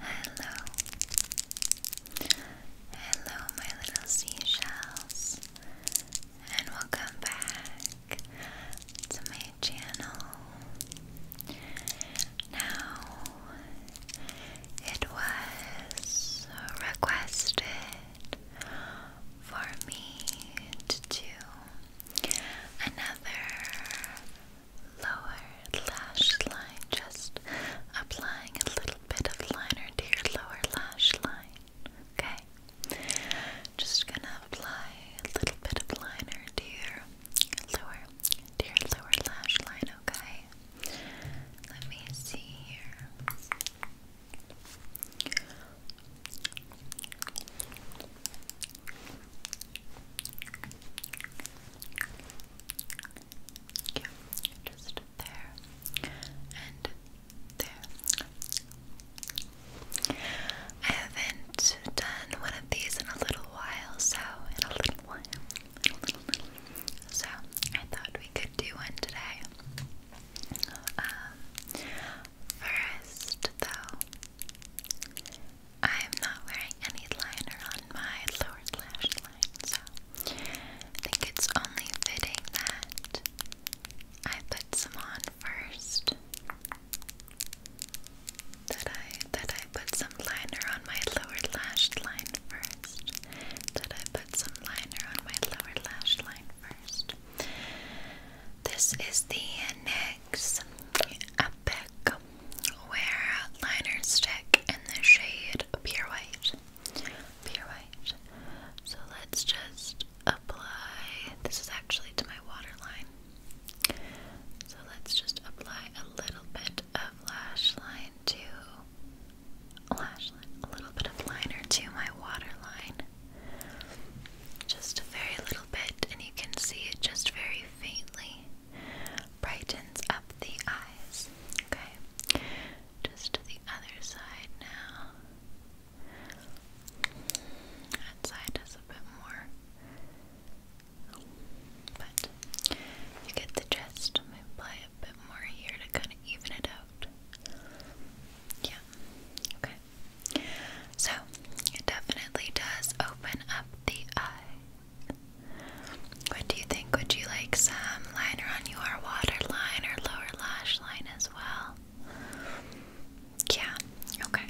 hello, hello, my little seashells, and welcome back to my channel. Now, it was requested for me to another lower lash line, just applying a little bit of liner to your lower lash line. Okay? Just gonna apply a little bit of liner to your lower, to your lower lash line, okay? Let me see here. Yeah, just there and there. I haven't done one of these in a little while, so in a little while, in a little, little. So I thought we could do one today. Um, First, though, I'm not wearing any liner on my lower lash line, so I think it's only fitting that I put some on first. That I that I put some liner on my lower lash line first. That I put some liner on my lower lash line first. This is the NYX Epic Wear Liner Stick in the shade Pure White. Pure White. So let's just apply. This is actually to my waterline. So let's just apply a little bit of lash line to lash line, a little bit of liner to my waterline. Just a very little and you can see it just very faintly. Brightens up the eyes. Okay, just to the other side now. That side is a bit more, but you get the gist. apply a bit more here to kind of even it out. Yeah. Okay. So it definitely does open up the eye. What do you think? Would you like some liner on your waterline or lower lash line as well? Yeah, okay.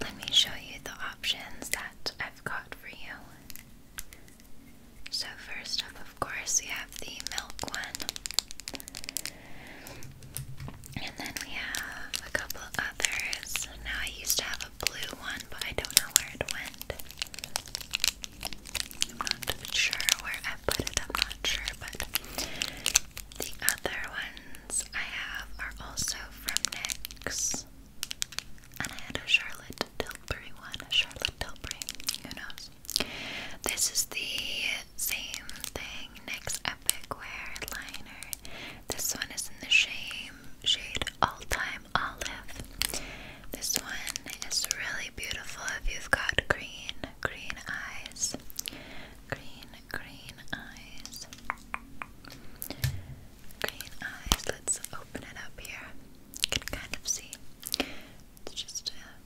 Let me show you the options that I've got for you. So, first up, of course, we have the milk one. And then we have a couple others. Now I used to have a blue one, but I don't know where it went. I'm not sure where I put it, I'm not sure, but the other ones I have are also from NYX. And I had a Charlotte Tilbury one, a Charlotte Tilbury, who knows. This is the same thing, next epic wear liner. This one is in the shame shade all time olive. This one is really beautiful if you've got green, green eyes. Green, green eyes. Green eyes. Let's open it up here. can kind of see. It's just a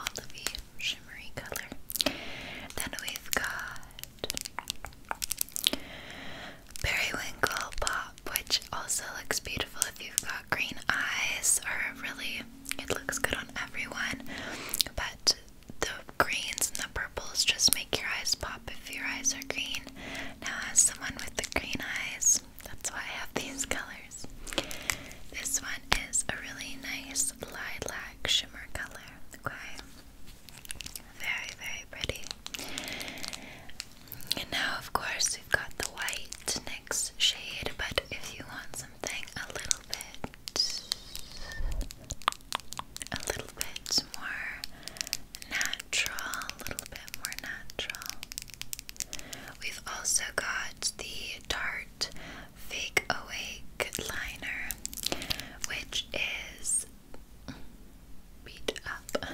olivey shade shimmery color. Then we've got Periwinkle Pop, which also looks beautiful if you've got green eyes, or really, it looks good on everyone. But the greens and the purples just make your eyes pop if your eyes are green. Now, as someone with the green eyes, that's why I have these colors. This one is a really nice this lilac shimmer color, okay? Very, very pretty. And now, of course, we've got the white next shade, but if you want something a little bit, a little bit more natural, a little bit more natural, we've also got the Dart. Fake Awake liner, which is beat up,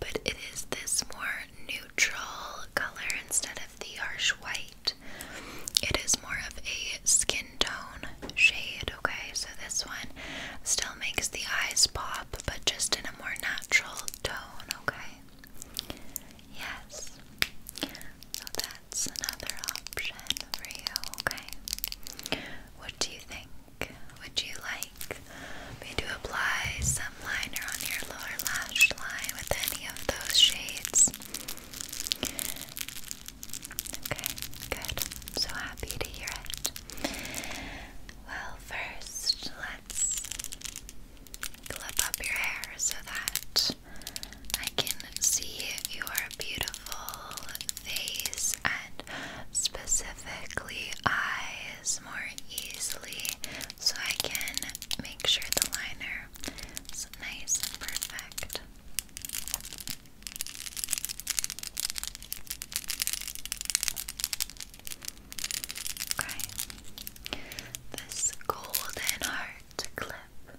but it is this more neutral color instead of the harsh white. It is more of a skin tone shade, okay? So this one still makes the eyes pop, but just in a more natural tone, okay? Yes. So that's another option for you, okay? What do you think? Would you like me to apply some liner on your lower lash line with any of those shades? Okay, good. I'm so happy to hear it. Well, first, let's clip up your hair so that I can see your beautiful face and specifically eyes more easily, so I can make sure the liner is nice and perfect. Okay, this golden heart clip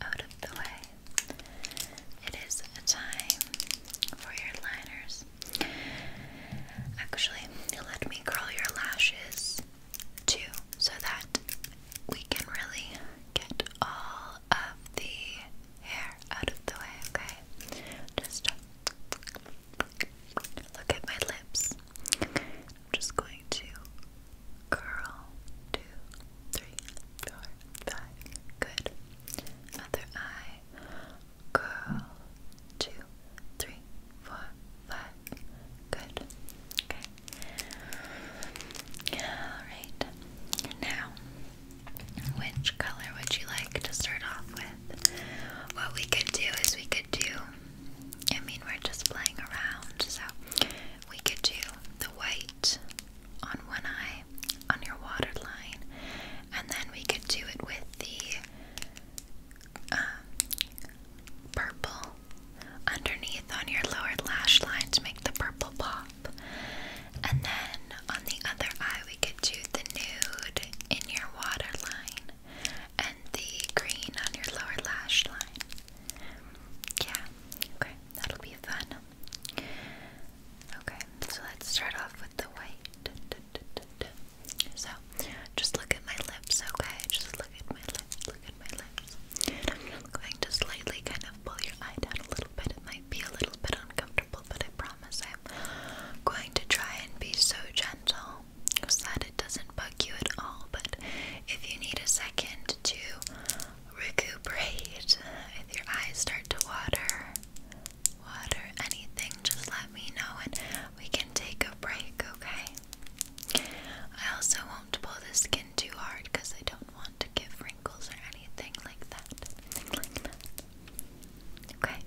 out of the way. It is a time for your liners. Actually, let me curl your lashes too so that we can really get all of the hair out of the way, okay? Just look at my lips. I'm just going to curl two, three, four, five. Good. Other eye. Curl two, three, four, five. Good. Okay. Alright. Now, which color would you like to start off with? What we could do is we could do, I mean, we're just playing around, so we could do the white on one eye on your waterline, and then we could do it with the um, purple underneath on your lower lash line to make the purple pop. And then on the other eye, we could do the nude in your waterline and the green on your lower lash line. Yeah, okay. That'll be fun. Okay, so let's start off with the white. So, just look at my lips, okay? Just look at my lips, look at my lips. I'm going to slightly kind of pull your eye down a little bit. It might be a little bit uncomfortable, but I promise I'm going to try and be so gentle so that it doesn't bug you at all. But if you need a second to recuperate. If your eyes start to water, water, anything, just let me know and we can take a break, okay? I also won't pull the skin too hard because I don't want to give wrinkles or anything like that. Okay,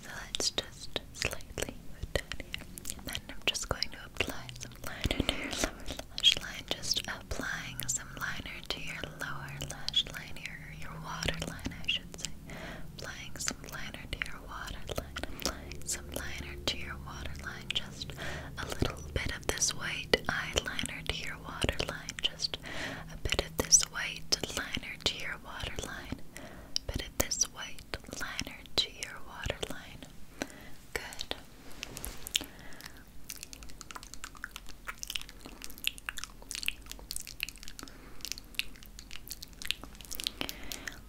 so let's just slightly put down here. I'm just going to apply some liner to your lower lash line. Just applying some liner to your lower lash line, or your waterline, I should say. Applying some liner to your waterline. Applying some liner to your waterline. Just a little bit of this white eyeliner to your waterline. Just a bit of this white liner to your waterline. bit of this white liner to your waterline. Good.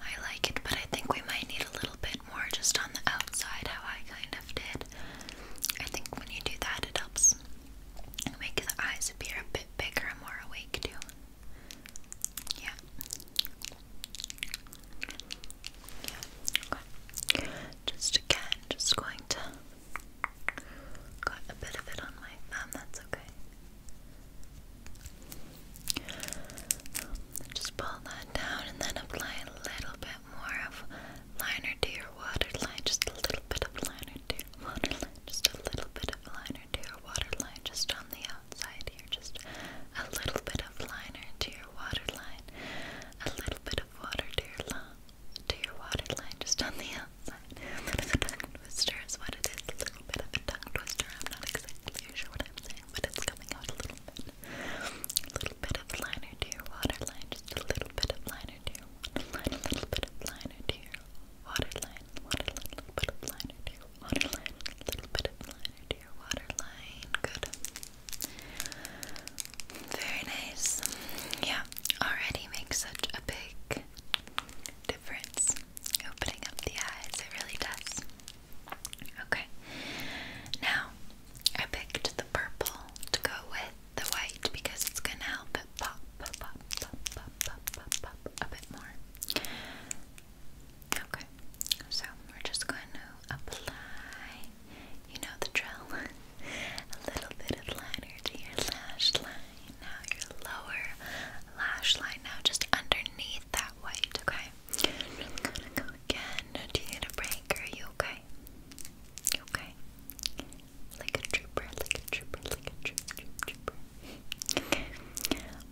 I like it, but I think we might need a little bit more just on the outside, how I kind of did. I think when you do that, it helps make the eyes appear a bit bigger and more awake, too. Yeah. Just again, just going to got a bit of it on my thumb, that's okay. Just pull that down and then apply a little bit more of liner to your waterline, just a little bit of liner to your waterline, just a little bit of liner to your waterline, just on the outside here, just a little bit of liner to your waterline a little bit of water to your to your water line, just on the outside. A little bit of twister is what it is. A little bit of twister. I'm not exactly sure what I'm saying, but it's coming out a little bit. A little bit of liner to your water just a little bit of liner to your water a little bit of liner to your water line, a little bit of liner to your a little bit of liner to your waterline. Good. Very nice. Yeah, already makes such a big difference opening up the eyes. It really does. Okay. Now, I picked the purple to go with the white because it's going to help it pop, pop, pop, pop, pop, pop, pop, pop a bit more. Okay, so we're just going to apply, you know the drill, a little bit of liner to your lash line, now your lower lash line, now just underneath that white, okay? again, do you need a break, are you okay? okay? Like a trooper, like a trooper, like a trooper, trooper. Okay,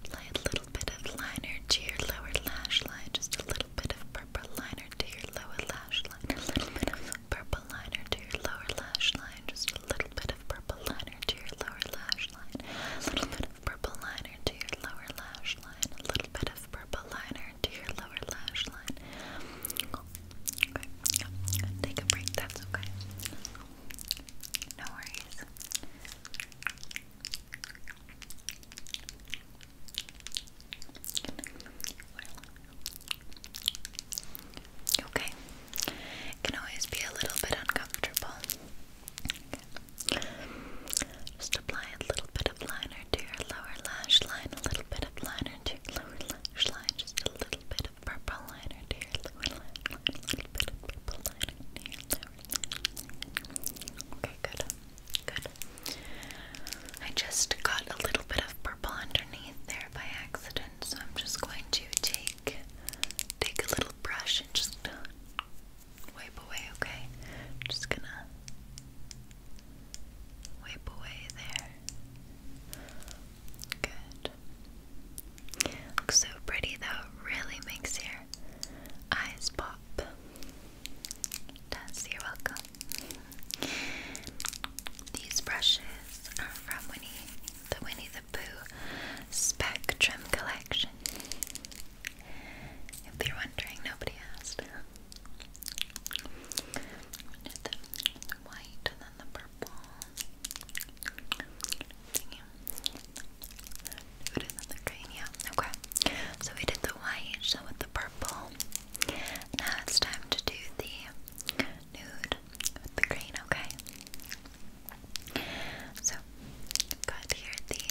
apply a little little bit of liner to your lower lash line, just a little bit of purple liner to your lower lash line, a little bit of purple liner to your lower lash line, just a little bit of purple liner to your lower lash line, a little bit of purple liner to your lower lash line, a little bit of purple liner to your lower lash line. Okay, yeah. take a break, that's okay. No worries. Okay. can always be a little bit uncomfortable. Just apply a little bit of liner to your lower lash line, a little bit of liner to your lower lash line, just a little bit of purple liner to your lower lash line, a little bit of purple liner to your lower lash line. Okay, good. Good. I just got a little bit of purple underneath there by accident, so I'm just going to take take a little brush and just wipe away, okay? just gonna wipe away there. Good. Looks so pretty though, really makes your eyes pop. Tess, you're welcome. These brushes are from Winnie the Winnie the Pooh Spectrum Collection. If you're wondering, nobody asked. Did the white and then the purple. We did the green, yeah. Okay. So we did the white, so with the purple. Now it's time to do the nude with the green, okay? So I've got here the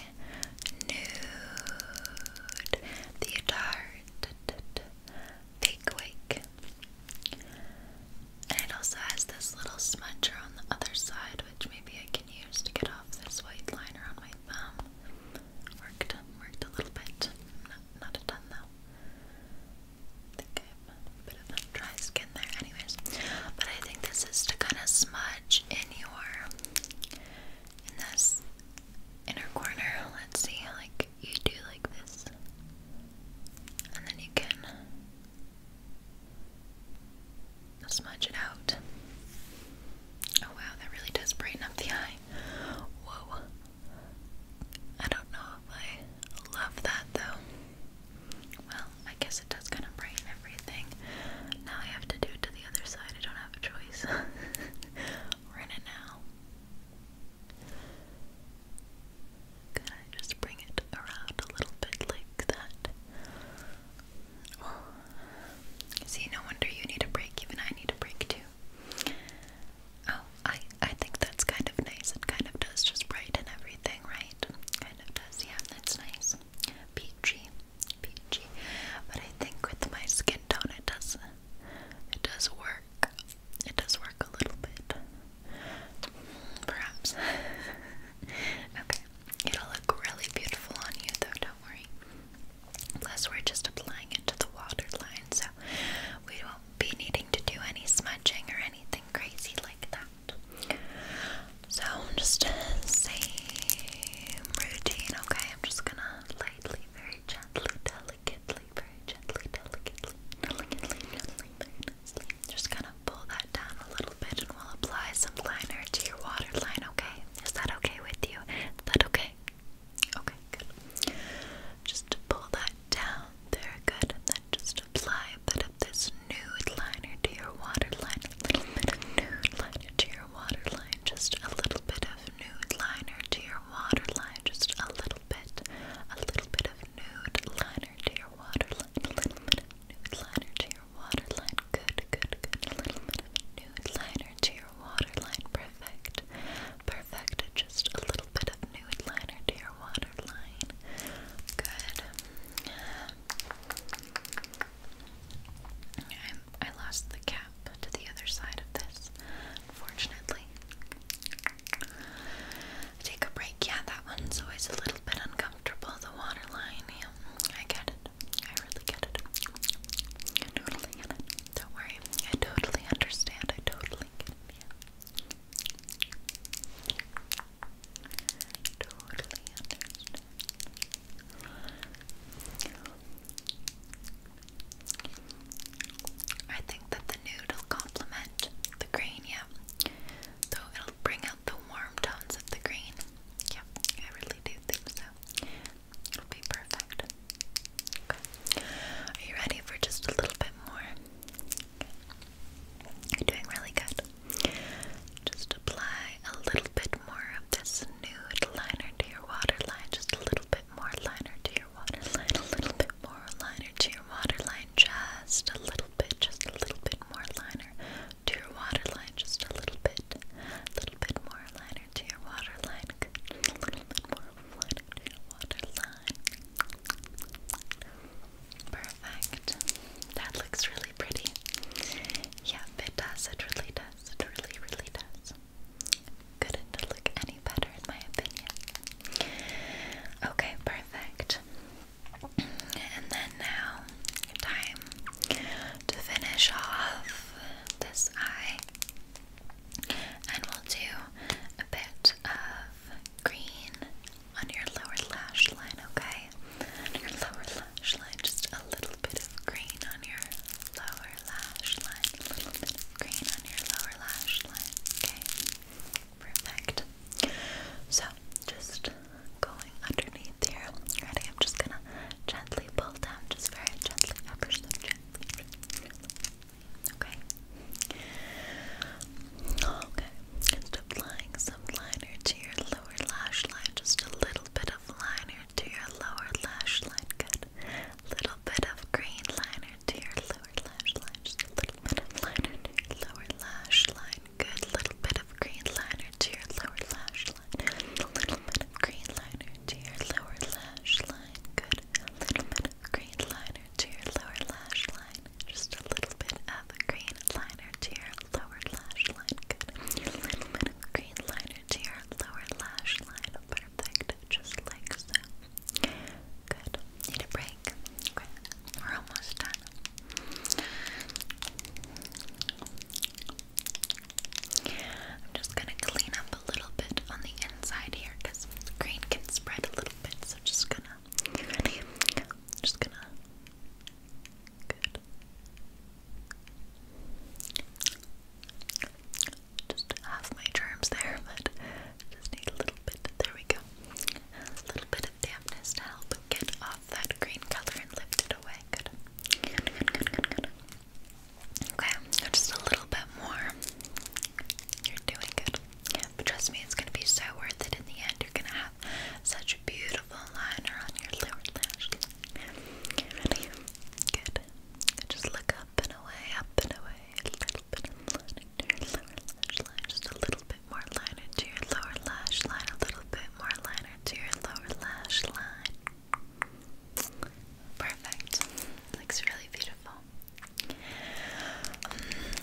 nude, the tart fake wake. And it also has this little smudge on the other side which maybe I can use to get off this white liner on my thumb. Worked, worked a little bit. Not, a ton though. think I have a bit dry skin there, anyways. But I think this is to kind of smudge in your, in this inner corner. Let's see, like you do like this, and then you can smudge it out. Oh wow, that really does brighten up the eye. Whoa. I don't know if love that though. Well, I guess it does kind of brighten everything. Now I have to do it to the other side. I don't have a choice. We're in it now. Can I just bring it around a little bit like that? see, no wonder you need a break. Even I need a break too. Oh, I I think that's kind of nice. It kind of does just brighten everything, right? Kind of does. Yeah, that's nice. Peachy, peachy. But I think with my skin tone, it does. It does work. It does work a little bit. Perhaps. okay. It'll look really beautiful on you though, don't worry. Plus, we're just applying it to the waterline, so we won't be needing to do any smudging or anything crazy like that. So, I'm just uh, same routine, okay? I'm just gonna lightly, very gently, delicately, very gently, delicately, delicately, delicately, Just gonna pull that down a little bit and will apply some liner to your waterline, okay? Is that okay with you? Is that okay? Okay, good. Just pull that down there, good. And then just apply a bit of this nude liner to your waterline. A little bit of nude liner to your waterline. Just a little bit of nude liner to your waterline. Just a little bit. A little bit of nude liner to your waterline. A little bit of nude liner to your waterline. Good, good, good. A little bit of nude liner to your waterline. Perfect. Perfect. Just a little bit of nude liner to your waterline. Good. i lost the cap to the other side of this, unfortunately. Take a break. Yeah, that one's always a little bit uncomfortable, the waterline. I get it. I really get it. I totally get it. Don't worry. I totally understand. I totally get it. Totally understand. I think that the nude will complement the green, yeah. Though it'll bring out the warm tones of the green. Yeah, I really do think so. It'll be perfect. Okay. Are you ready for just a little bit more? Okay. You're doing really good. Just apply a little bit more of this nude liner to your waterline. Just a little bit more liner to your waterline. A little bit more liner to your waterline. Just a little bit, just a little bit more liner to your waterline just a little bit. A little bit more liner to your waterline. A little bit more liner waterline. Perfect. That looks really pretty. Yeah, it does. It really does. It really, really does. Couldn't look any better in my opinion. Okay, perfect. And then now time to finish off this eye, and we'll do a bit of green on your lower lash line, okay? your lower lash line, just a little bit of green on your lower lash line, a little bit of green on your lower lash line, okay? Perfect. So, just going underneath here. Ready? I'm just gonna gently pull down, just very gently, ever gently. Okay. Okay. Just applying some liner to your lower lash line. Just a little bit of liner to your lower lash line. Good. Little bit of green liner to your lower lash line. little bit of liner to your lower lash line good little bit of green liner to your lower lash line. A little bit of green liner to your lower lash line. Good. A little bit of green liner to your lower lash line. Just a little bit of green liner to your lower lash line. Good. A little bit of green liner to your lower lash line. Perfect. Just like so. Good. Need a break. Okay. We're almost done. I'm just gonna clean up a little bit on the inside here because green can spread a little bit, so just gonna just gonna good. Just half my germs there, but just need a little bit. There we go. A little bit of dampness to help get that green color and lift it away. Good. Okay, just a little bit more. You're doing good. trust me, it's gonna be so worth it in the end. You're gonna have such beautiful liner on your lower lash. Ready? Good. Just look up and away, up and away. Just a little bit more liner to your lower lash line. A little bit more liner to your lower lash line. Perfect. Looks really beautiful.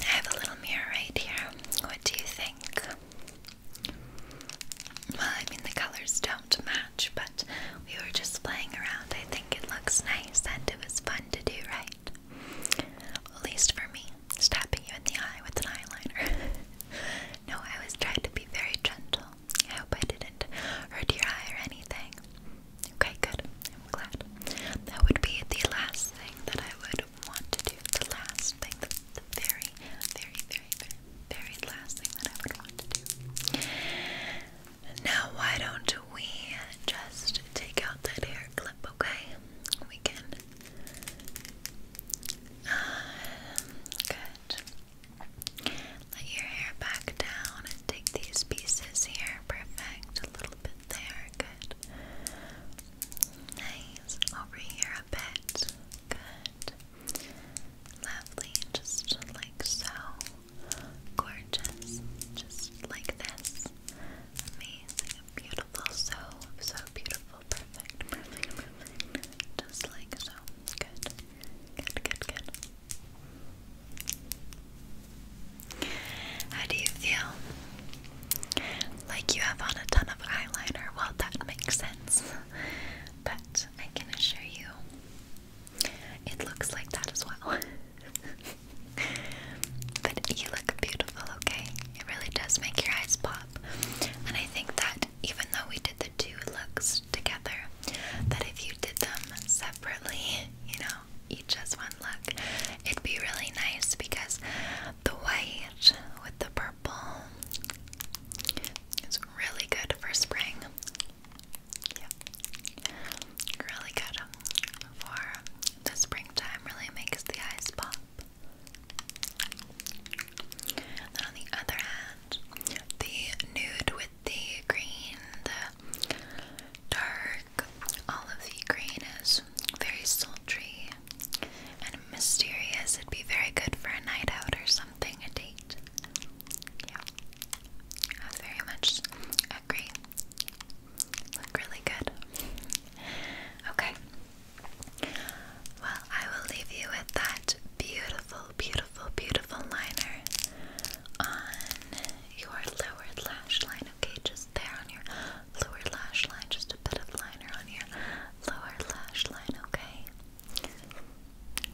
I have a little mirror right here. What do you think? Well, I mean, the colors don't match, but we were just playing around. I think it looks nice and it was fun to do, right? at least for me, stabbing you in the eye with an eyeliner. No, I was trying to be very gentle. I hope I didn't hurt your eye or anything. Okay, good. I'm glad. That would be the last thing that I would want to do. The last thing, the, very, very, very, very, very last thing that I would want to do. Now, why don't we just take out that hair clip, okay? We can um, good. Let your hair back down and take these pieces here. Perfect. A little bit there. Good. Nice. Over here a bit. Good. Lovely. Just like so. Gorgeous. Just like this. Amazing. Beautiful. So, so beautiful perfect. Just like so. Good. Good, good, good. How do you feel? Like you have on a ton of eyeliner. Well, that makes sense. but I can assure you, it looks like that as well. but you look beautiful, okay? It really does make your eyes pop. And I think that said, even though we did the two looks together, that if you did them separately, you know, each as one look, it'd be really nice because the white with the purple is really good for spring. Yep. Really good for the springtime, really makes the eyes pop. Then on the other hand, the nude with the green, the dark olivey green is very sultry and mysterious. It'd be very good for a night out or something, a date. Yeah, I very much agree. Look really good. Okay, well, I will leave you with that beautiful, beautiful, beautiful liner on your lower lash line, okay? Just there on your lower lash line, just a bit of liner on your lower lash line, okay?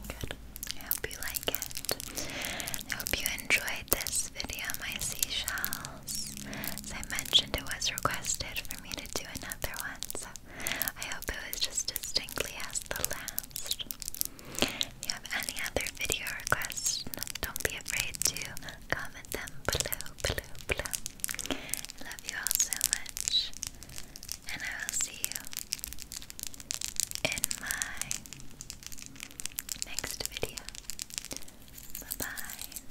Good. I hope you like it. I hope you enjoyed this video, my seashells. As I mentioned, it was requested for me to do another one, I hope it was just distinctly as the last. you have any other video requests, don't be afraid to comment them below, below, below. love you all so much, and I will see you in my next video. Bye bye.